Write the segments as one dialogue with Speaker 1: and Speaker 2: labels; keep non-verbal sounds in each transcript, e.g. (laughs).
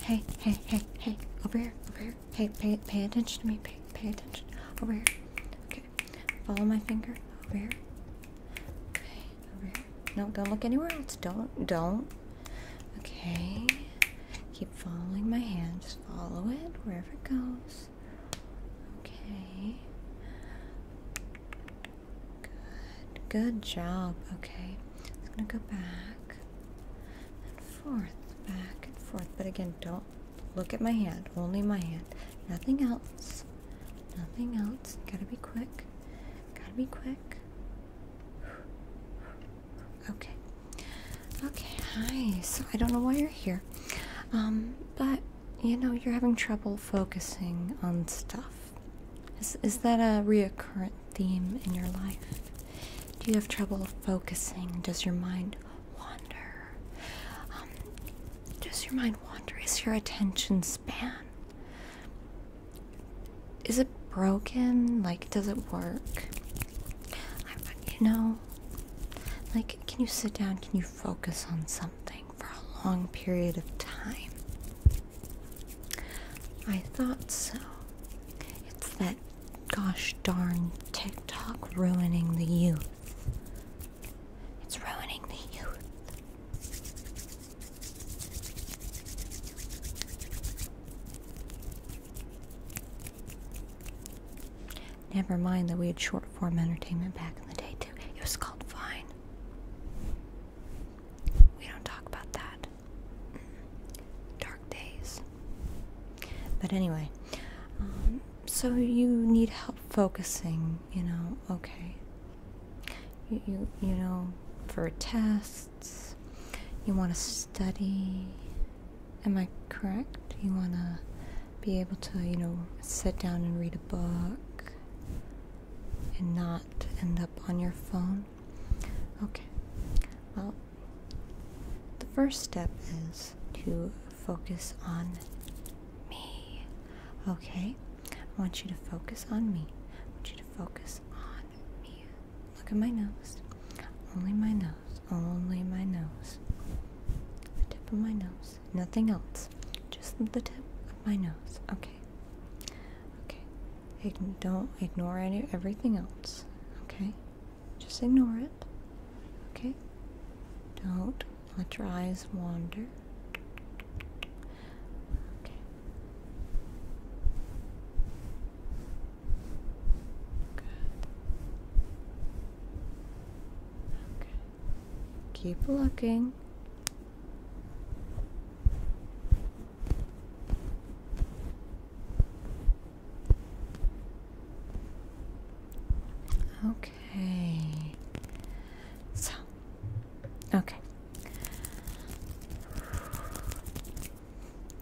Speaker 1: Hey, hey, hey, hey, over here, over here. Hey, pay, pay attention to me. Pay, pay attention. Over here. Okay. Follow my finger. Over here. Okay, over here. No, don't look anywhere else. Don't, don't. Okay. Keep following my hand. Just follow it wherever it goes. Okay. Good. Good job. Okay. I'm gonna go back and forth, back and forth. But again, don't look at my hand, only my hand. Nothing else. Nothing else. Gotta be quick. Gotta be quick. Okay. Okay, hi. So I don't know why you're here. Um, but you know, you're having trouble focusing on stuff. Is, is that a recurrent theme in your life? Do you have trouble focusing? Does your mind wander? Um, does your mind wander? Is your attention span? Is it broken? Like, does it work? you know, like, can you sit down? Can you focus on something for a long period of time? I thought so. It's that gosh darn TikTok ruining the youth. It's ruining the youth. Never mind that we had short form entertainment back in the day, too. It was called Vine. We don't talk about that dark days. But anyway, um, so you need help focusing, you know, okay. you, you know, for tests, you want to study. Am I correct? You want to be able to, you know, sit down and read a book and not end up on your phone. Okay, well, the first step is to focus on me. Okay, I want you to focus on me. I want you to focus on me. Look at my nose. Only my nose. Only my nose. The tip of my nose. Nothing else. Just the tip of my nose. Okay. Okay don't ignore any everything else. Okay? Just ignore it. Okay? Don't let your eyes wander. Okay. Keep looking. Okay. So, okay.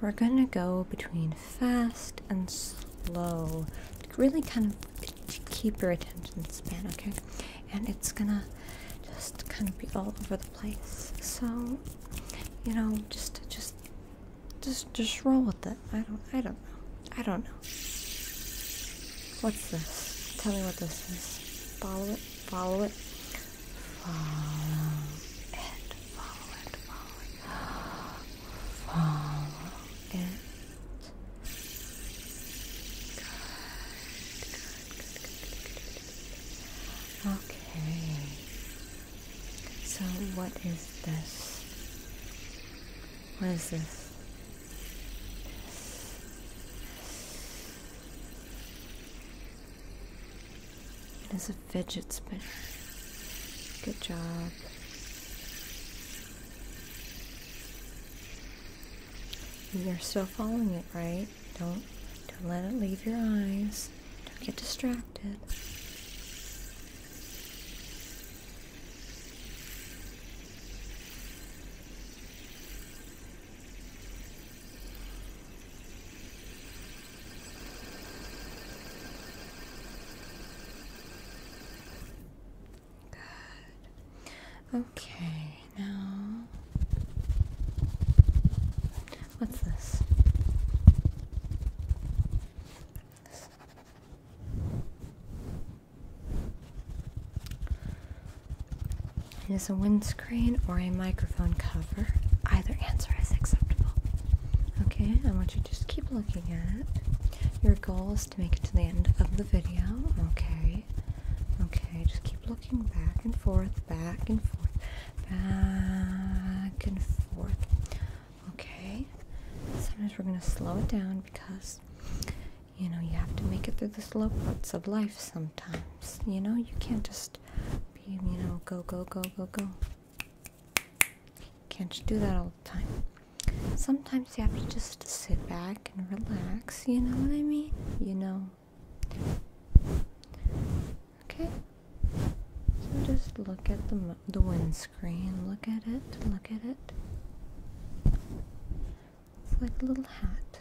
Speaker 1: We're going to go between fast and slow to really kind of keep your attention span, okay? And it's going to just kind of be all over the place. So, don't you know just just just just roll with it i don't i don't know i don't know what's this tell me what this is follow it follow it follow it follow it follow it follow it good good good good good, good. okay so what is this? What is this? It is a fidget spinner. Good job. You're still following it, right? Don't don't let it leave your eyes. Don't get distracted. Good. Okay, now What's this? It is a windscreen or a microphone cover. Either answer is acceptable. Okay, I want you to just keep looking at it. Your goal is to make it to the end of the video. Okay. Okay, just keep looking back and forth, back and forth back and forth. Okay, sometimes we're gonna slow it down because you know you have to make it through the slow parts of life sometimes. You know, you can't just be, you know, go, go, go, go, go. Can't you do that all the time? Sometimes you have to just sit back and relax, you know what I mean? You know. Okay. So just look at the the windscreen. Look at it. Look at it. It's like a little hat.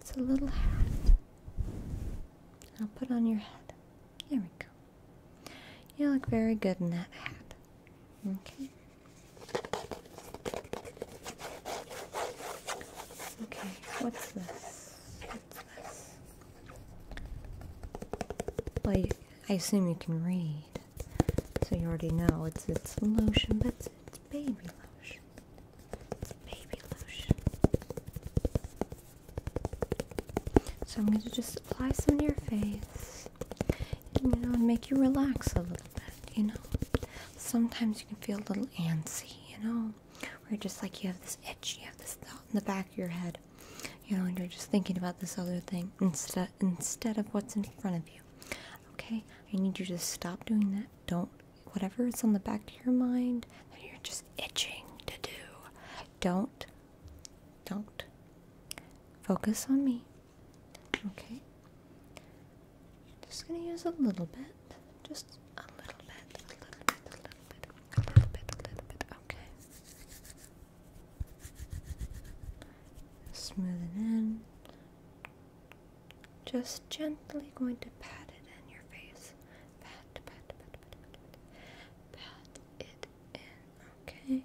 Speaker 1: It's a little hat. I'll put on your head. There we go. You look very good in that hat. Okay. Okay, what's this? this. I assume you can read, so you already know it's it's lotion, but it's, baby lotion. baby lotion. So I'm going to just apply some to your face, you know, and make you relax a little bit. You know, sometimes you can feel a little antsy. You know, we're just like you have this itch, you have this thought in the back of your head, you know, and you're just thinking about this other thing instead instead of what's in front of you. Okay, I need you to stop doing that. Don't whatever it's on the back of your mind that you're just itching to do. Don't, don't focus on me. Okay. Just gonna use a little bit. Just a little bit, a little bit, a little bit, a little bit, a little bit. Okay. Smooth it in. Just gently going to pat it in your face. Pat, pat, pat, pat, pat, pat. Pat it in. Okay.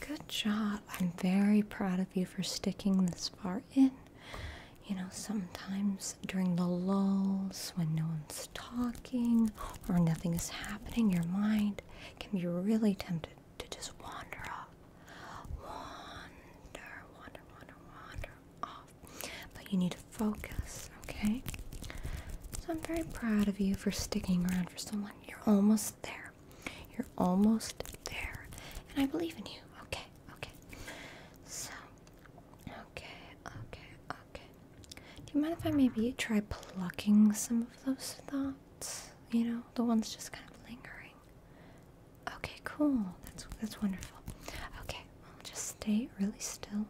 Speaker 1: Good job. I'm very proud of you for sticking this far in. You know, sometimes during the lulls, when no one's talking or nothing is happening, your mind can be really tempted to just wander off. Wander, wander, wander, wander, but you need to focus, okay? So I'm very proud of you for sticking around for someone. You're almost there. You're almost there. And I believe in you. Okay, okay. So, okay, okay, okay. Do you mind if I maybe try plucking some of those thoughts? You know, the ones just kind of lingering. Okay, cool. That's that's wonderful. Okay, well just stay really still.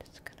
Speaker 1: Just gonna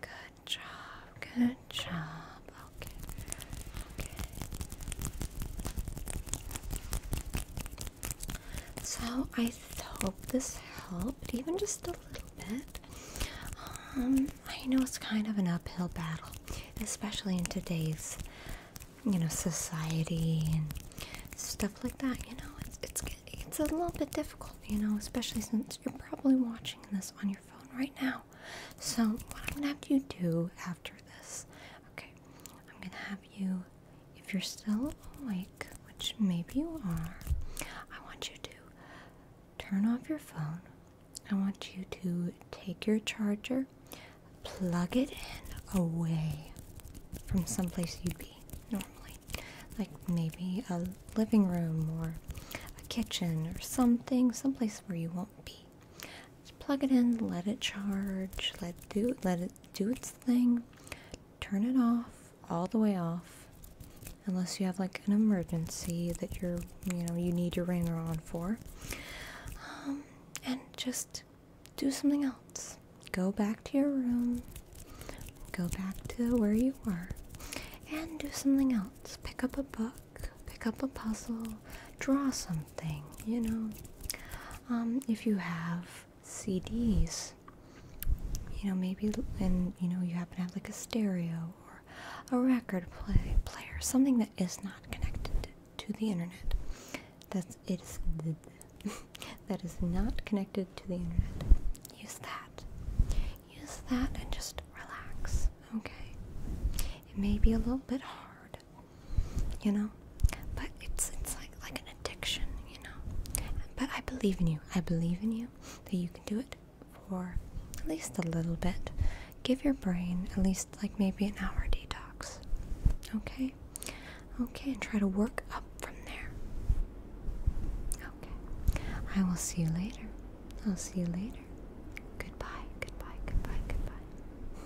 Speaker 1: Good job, good job. Okay. So I hope this helped, even just a little bit. Um, I know it's kind of an uphill battle, especially in today's, you know, society and stuff like that. You know, it's it's it's a little bit difficult, you know, especially since you're probably watching this on your phone right now. So what I'm gonna have you do after this, okay? I'm gonna have you, if you're still awake, which maybe you are, I want you to turn off your phone. I want you to take your charger, plug it in away from someplace you'd be normally, like maybe a living room or a kitchen or something, someplace where you won't be. Just plug it in, let it charge, let do let it do its thing. Turn it off, all the way off, unless you have like an emergency that you're you know you need your ringer on for. Um, and just do something else. Go back to your room. Go back to where you were, and do something else. Pick up a book. Pick up a puzzle draw something, you know. Um, if you have CDs, you know, maybe, and you know, you happen to have like a stereo or a record play, player, something that is not connected to the internet. That's (laughs) that is not connected to the internet. Use that. Use that and just relax. Okay. It may be a little bit hard you know. But it's it's like like an addiction, you know. But I believe in you. I believe in you that you can do it for at least a little bit. Give your brain at least like maybe an hour detox. Okay? Okay, and try to work up from there. Okay. I will see you later. I'll see you later. Goodbye, goodbye, goodbye, goodbye.